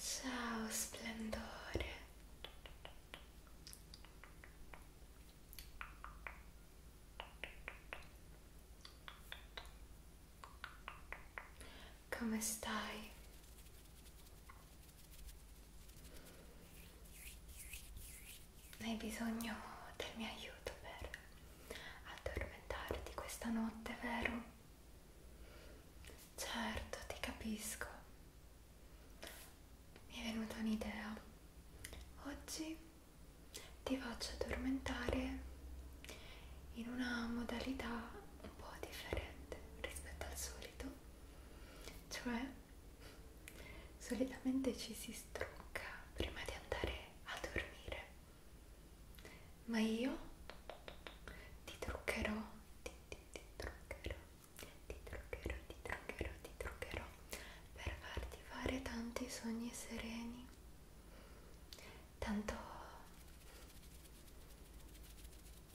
Ciao splendore. Come stai? Hai bisogno del mio aiuto per addormentarti questa notte, vero? Certo, ti capisco. Mi è venuta un'idea. Oggi ti faccio addormentare in una modalità un po' differente rispetto al solito cioè solitamente ci si strucca prima di andare a dormire ma io ti truccherò ti, ti, ti truccherò ti truccherò ti truccherò ti truccherò per farti fare tanti sogni sereni tanto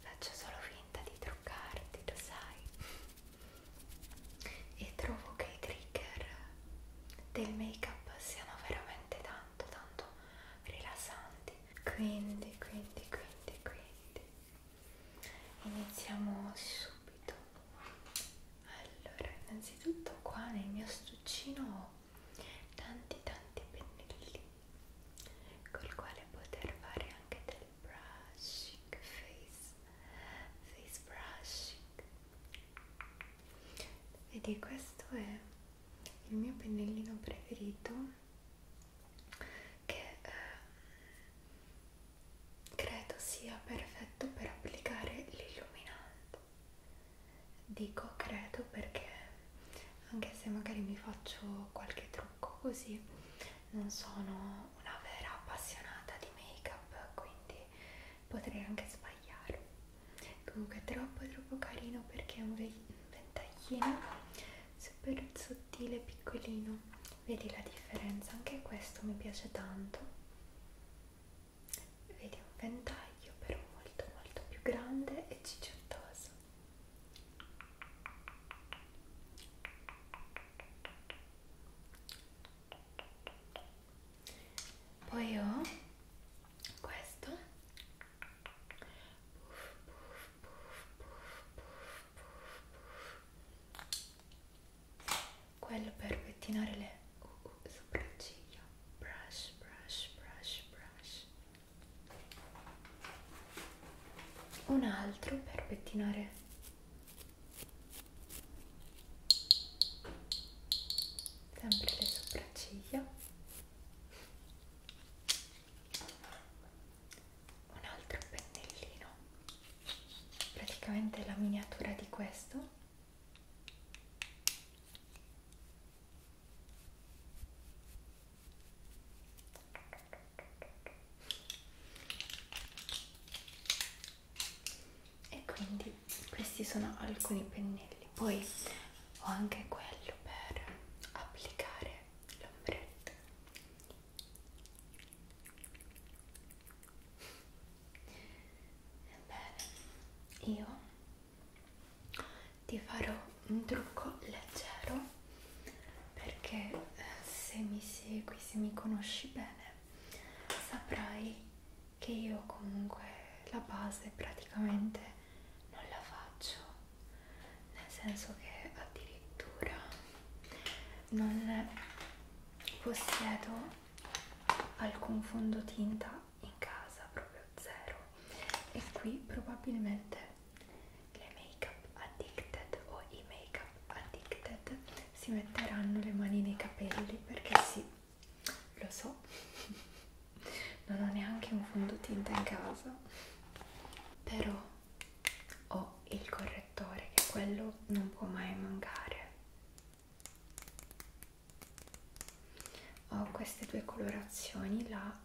Faccio solo finta di truccarti, lo sai. E trovo che i trigger del make up siano veramente tanto, tanto rilassanti. Quindi, quindi, quindi, quindi. Iniziamo subito. Allora, innanzitutto qua nel mio stuccino ho tanti tanti pennellini col quale poter fare anche del brushing face face brushing vedi questo è il mio pennellino preferito che eh, credo sia perfetto per applicare l'illuminante dico credo perché anche se magari mi faccio qualche trucco così non sono una vera appassionata di make up quindi potrei anche sbagliare comunque è troppo troppo carino perché è un ventaglino super sottile piccolino vedi la differenza anche questo mi piace tanto vedi un ventaglio però molto molto più grande e cicciottoso poi ho questo. Puff, puff, puff, puff, puff, puff, puff. Quello per pettinare le uh, uh, sopracciglia. Brush, brush, brush, brush un altro per pettinare sempre le sopracciglia un altro pennellino praticamente la miniatura di questo e quindi questi sono alcuni pennelli poi ho anche quello per applicare l'ombretto ebbene io ti farò un trucco leggero perché eh, se mi segui, se mi conosci bene, saprai che io comunque la base praticamente non la faccio, nel senso che addirittura non possiedo alcun fondotinta in casa, proprio zero, e qui probabilmente le make up addicted o i make up addicted si metteranno le mani nei capelli perché sì, lo so, non ho neanche un fondotinta in casa, però ho il correttore che quello non può mai mancare. Ho queste due colorazioni, la 01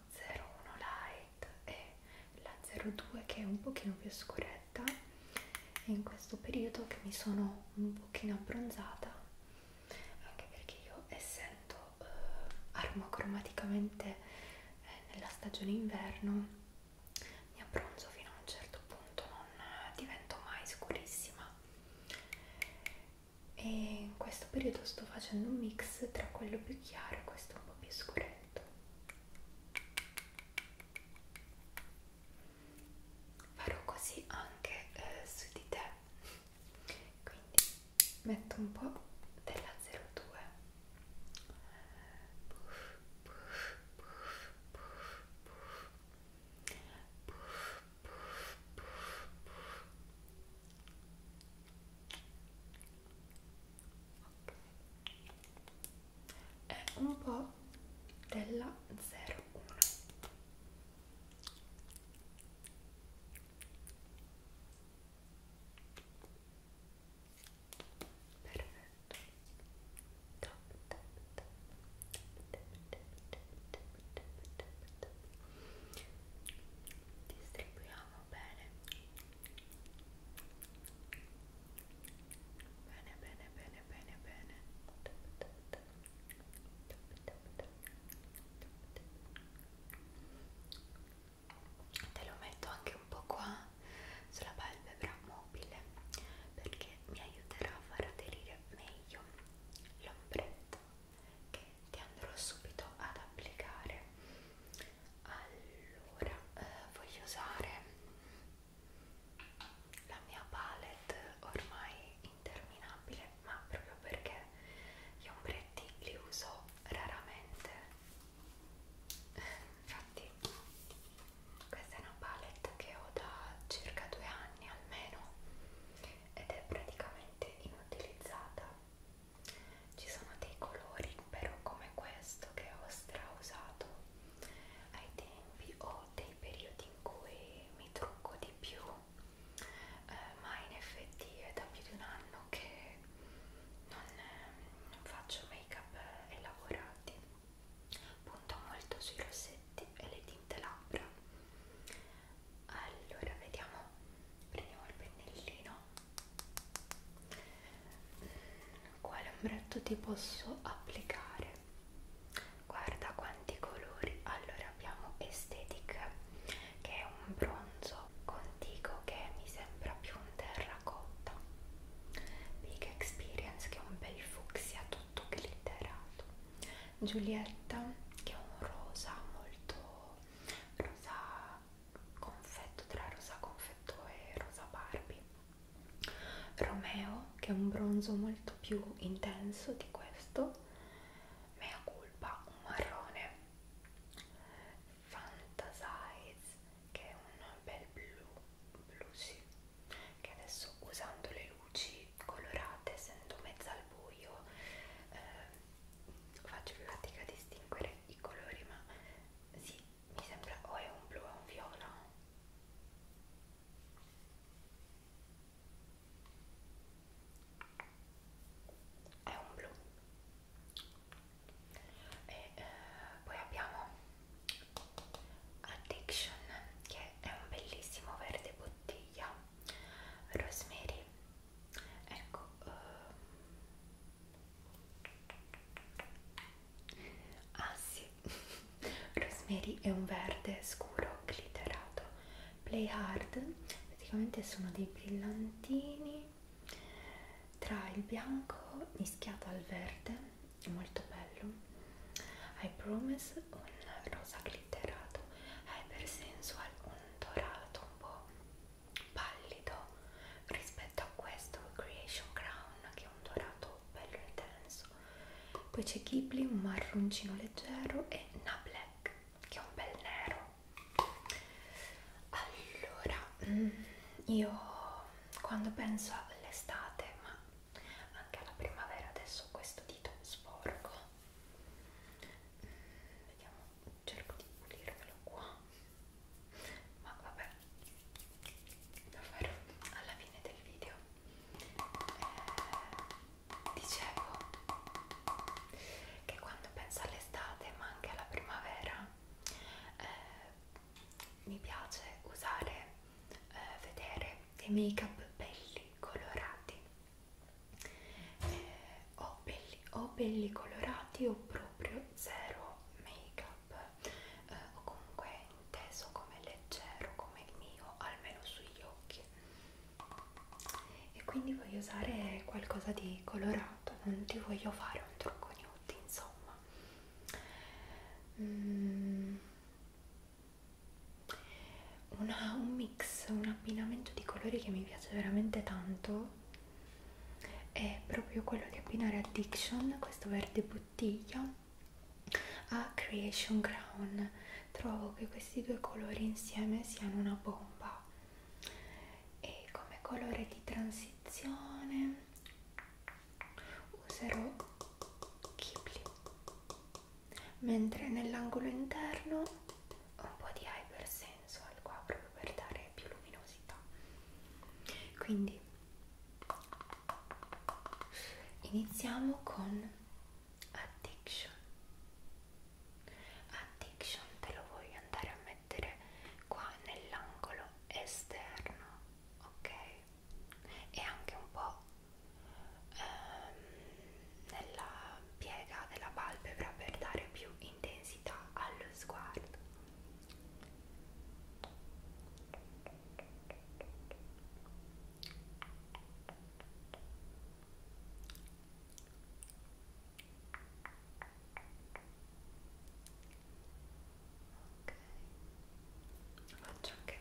light e la 02 che è un pochino più scuretta e in questo periodo che mi sono un pochino abbronzata anche perché io essendo eh, armocromaticamente eh, nella stagione inverno mi abbronzo fino a un certo punto non eh, divento mai scurissima e in questo periodo sto facendo un mix tra quello più chiaro e questo un po' più scuretto perfetto farò così anche eh, su di te quindi metto un po' della 02 puff, puff, puff, puff, puff. Puff, puff, puff, puff. Okay è un po' della 01 perfetto top, top, top, top, top, top, top, top, top. distribuiamo bene Bene, bene, bene, bene, bene. Te lo metto anche un po' qua sulla palpebra mobile perché mi aiuterà a far aderire meglio l'ombretto che ti andrò subito ad applicare allora eh, voglio usare la mia palette ormai interminabile ma proprio perché gli ombretti li uso raramente infatti questa è una palette che ho da circa due anni almeno ed è praticamente inutilizzata ci sono dei colori però come questo che ho strausato ai tempi o dei periodi in cui mi trucco di più eh, ma in effetti è da più di un anno che non, non faccio make up elaborati punto molto sui rossetti e le tinte labbra allora vediamo prendiamo il pennellino quale ombretto ti posso applicare? Guarda quanti colori! Allora abbiamo Aesthetic che è un bronzo contigo che mi sembra più un terracotta, Big Experience che è un bel fucsia tutto glitterato, Giulietta che è un rosa molto rosa confetto tra rosa confetto e rosa Barbie Romeo che è un bronzo molto più intenso di questo mea culpa un marrone Fantasize che è un bel blu blu sì che adesso usando le luci colorate essendo mezza al buio eh, faccio più fatica a distinguere i colori ma sì mi sembra o è un blu o un viola è un blu e eh, poi abbiamo Addiction che è un bellissimo verde bottiglia Rosemary ecco eh, Ah sì, Rosemary è un verde scuro glitterato. Play Hard praticamente sono dei brillantini tra il bianco mischiato al verde, è molto bello. I Promise un rosa glitterato, Hyper Sensual un dorato un po' pallido rispetto a questo Creation Crown che è un dorato bello intenso poi c'è Ghibli, un marroncino leggero e una black che è un bel nero allora mm, io quando penso all'estate ma anche alla primavera adesso questo dito sporco mm, vediamo cerco di pulirvelo qua ma vabbè lo farò alla fine del video eh, dicevo che quando penso all'estate ma anche alla primavera eh, mi piace usare eh, vedere dei make up belli colorati eh, o belli capelli o belli colorati o proprio zero make up eh, o comunque inteso come leggero come il mio almeno sugli occhi e quindi voglio usare qualcosa di colorato non ti voglio fare un trucco nude insomma mm. Una, un mix, un abbinamento di colori che mi piace veramente tanto è proprio quello di abbinare addiction, questo verde bottiglia, a Creation Crown. Trovo che questi due colori insieme siano una bomba. E come colore di transizione userò Kipling, mentre nell'angolo interno un po' di Hypersense intenso al qua proprio per dare più luminosità quindi iniziamo con addiction addiction te lo voglio andare a mettere qua nell'angolo esterno ok e anche un po' ehm, nella piega della palpebra per dare più intensità allo sguardo ok faccio anche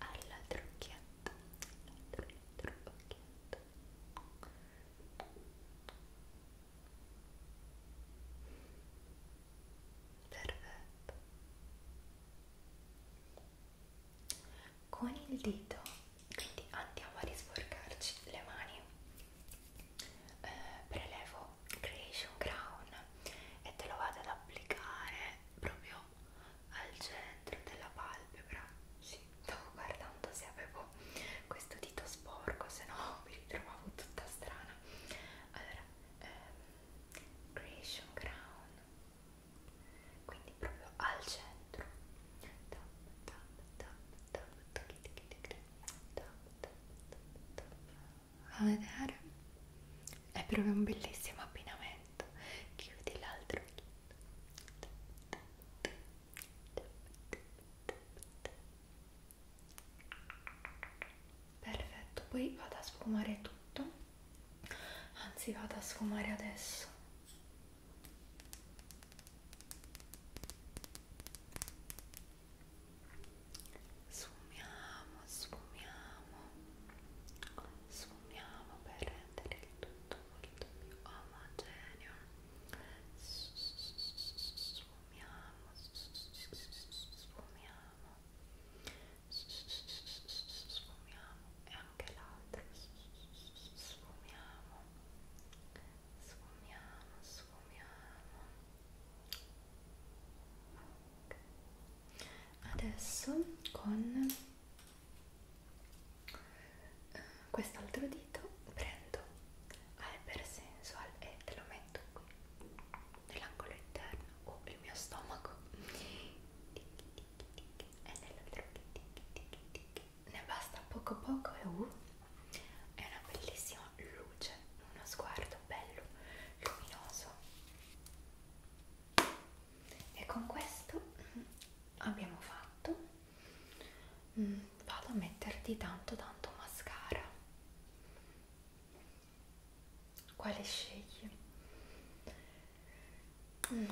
all'altro occhietto all'altro occhietto ok perfetto con il dito quindi andiamo a risforcarci le mani eh, prelevo creation crown e te lo vado ad applicare proprio al centro della palpebra sì, stavo guardando se avevo questo dito sporco, se no mi ritrovavo tutta strana. Allora, ehm, Creation Crown, quindi proprio al centro. Tap, tap, tap, tap, tap, tap, tap, tap. A vedere? È proprio un bellissimo abbinamento. Chiudi l'altro perfetto poi vado a sfumare tutto anzi vado a sfumare adesso sfumiamo sfumiamo sfumiamo per rendere il tutto molto più omogeneo sfumiamo sfumiamo sfumiamo sfumiamo e anche l'altro sfumiamo sfumiamo sfumiamo okay. adesso con eh, quest'altro dito prendo Alper Sensual e te lo metto qui nell'angolo interno o il mio stomaco e nell'altro ne basta poco poco e uh, è una bellissima luce uno sguardo bello luminoso e con questo mm, abbiamo fatto mm, vado a metterti tanto tanto mascara quale scegli? Mm,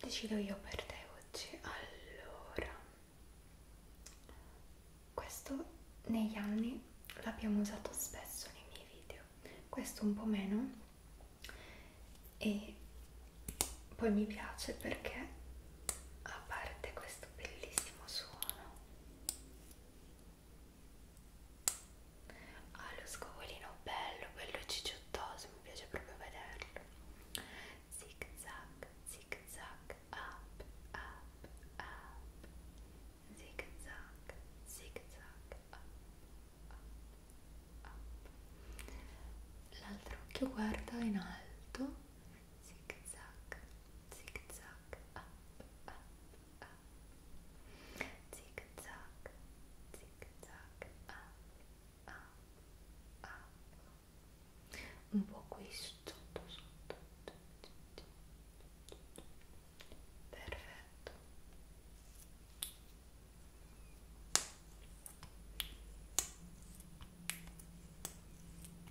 decido io per te oggi allora questo negli anni l'abbiamo usato spesso nei miei video questo un po' meno e poi mi piace perché a parte questo questo bellissimo suono ha ah, lo scovolino bello, bello cicciottoso, mi piace proprio vederlo zig zag, zig zag, up, up, up zig zag, zig zag, up, up, up l'altro occhio guarda in alto zig zag, zig zag, up, up, up, zig zag, zig zag, up, up, up, un po' qui sotto, sotto, perfetto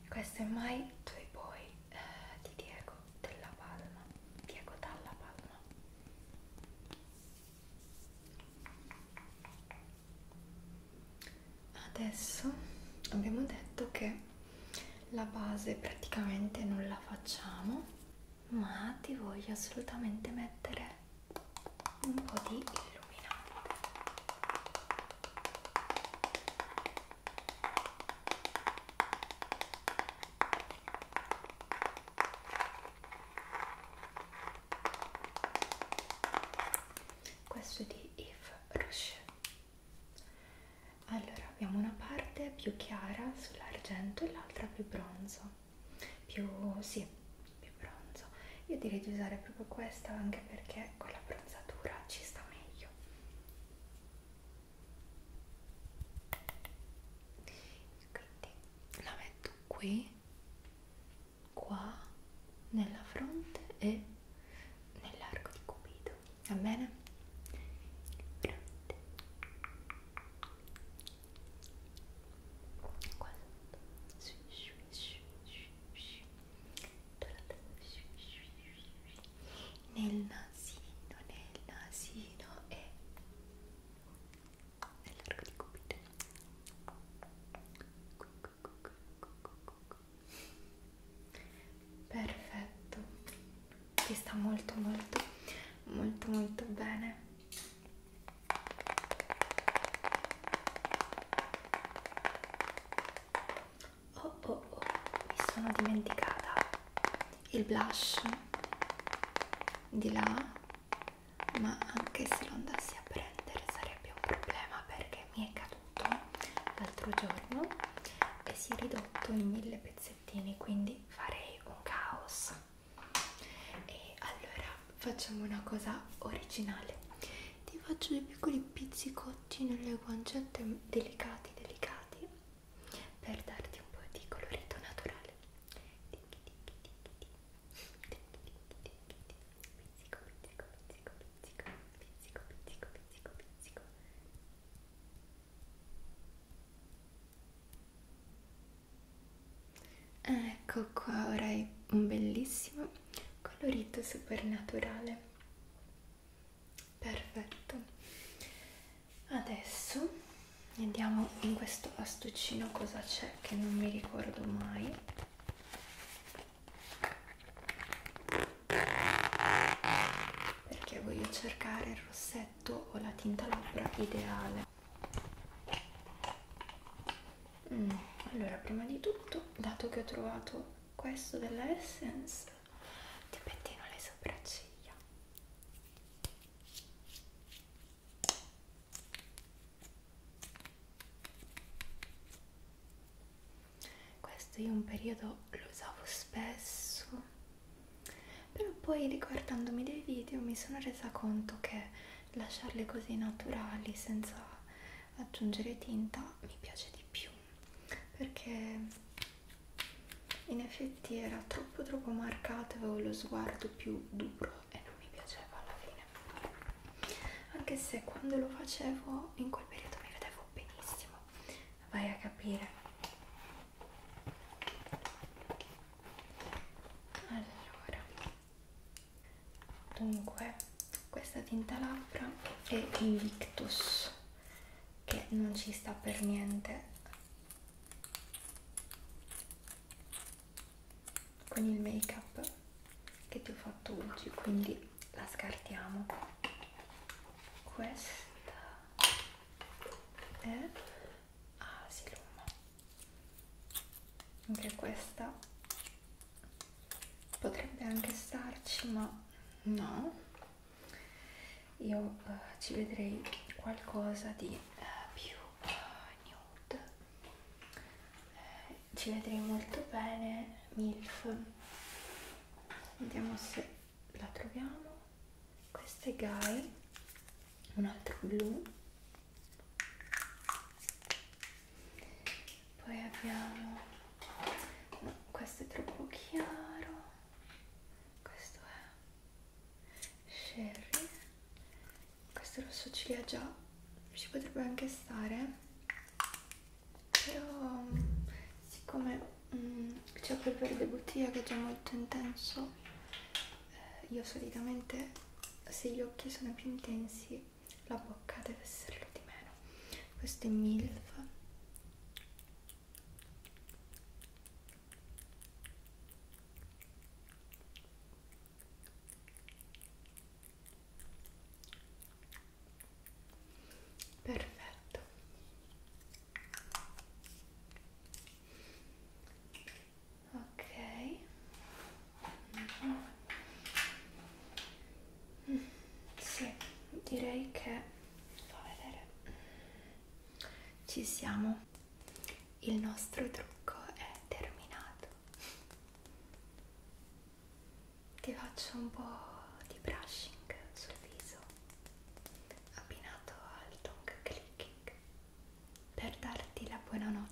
questo è mai Toy Boy eh, di Diego della Palma Diego Dalla Palma adesso abbiamo detto che la base praticamente non la facciamo ma ti voglio assolutamente mettere un po' di illuminante questo è di Yves Rocher allora abbiamo una parte più chiara sull'argento e l'altra più bronzo più sì più bronzo io direi di usare proprio questa anche perché con la bronzatura ci sta meglio quindi la metto qui qua nella fronte e nell'arco di cupido va bene? fronte qua sotto nel nasino, nel nasino e nell'arco di Cupido perfetto ti sta molto molto molto molto bene oh oh oh mi sono dimenticata il blush di là ma anche se lo andassi a prendere sarebbe un problema perché mi è caduto l'altro giorno e si è ridotto in mille pezzettini quindi farei un caos e allora facciamo una cosa originale ti faccio dei piccoli pizzicotti nelle guancette delicati delicati per darti un po' di colorito naturale pizzico pizzico pizzico pizzico pizzico pizzico pizzico pizzico Ecco qua, ora hai un bellissimo colorito super naturale perfetto adesso andiamo in questo astuccino cosa c'è che non mi ricordo mai perché voglio cercare il rossetto o la tinta labbra ideale mm, allora prima di tutto dato che ho trovato questo della Essence ti pettino le sopracciglia questo io un periodo lo usavo spesso però poi riguardandomi dei video mi sono resa conto che lasciarle così naturali senza aggiungere tinta mi piace di più perché in effetti era troppo troppo marcato avevo lo sguardo più duro e non mi piaceva alla fine anche se quando lo facevo in quel periodo mi vedevo benissimo vai a capire allora dunque questa tinta labbra e Invictus che non ci sta per niente con il make up che ti ho fatto oggi quindi la scartiamo questa è Asilum anche questa potrebbe anche starci ma no io eh, ci vedrei qualcosa di eh, più eh, nude eh, ci vedrei molto bene milf vediamo se la troviamo questo è Guy un altro blu poi abbiamo no, questo è troppo chiaro questo è sherry questo rosso ciliegia ci potrebbe anche stare però siccome mm, c'è quel verde bottiglia che è già molto intenso eh, io solitamente se gli occhi sono più intensi la bocca deve esserlo di meno questo è milf perfetto ok Mm. Sì, direi che fa vedere. Ci siamo. Il nostro trucco è terminato. Ti faccio un po' di brushing sul viso abbinato al tongue clicking per darti la buonanotte.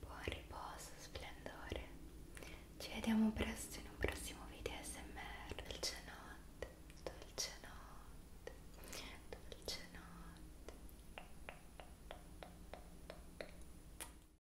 Buon riposo, splendore. Ci vediamo presto in un prossimo video ASMR. Dolce notte, dolce notte, dolce notte.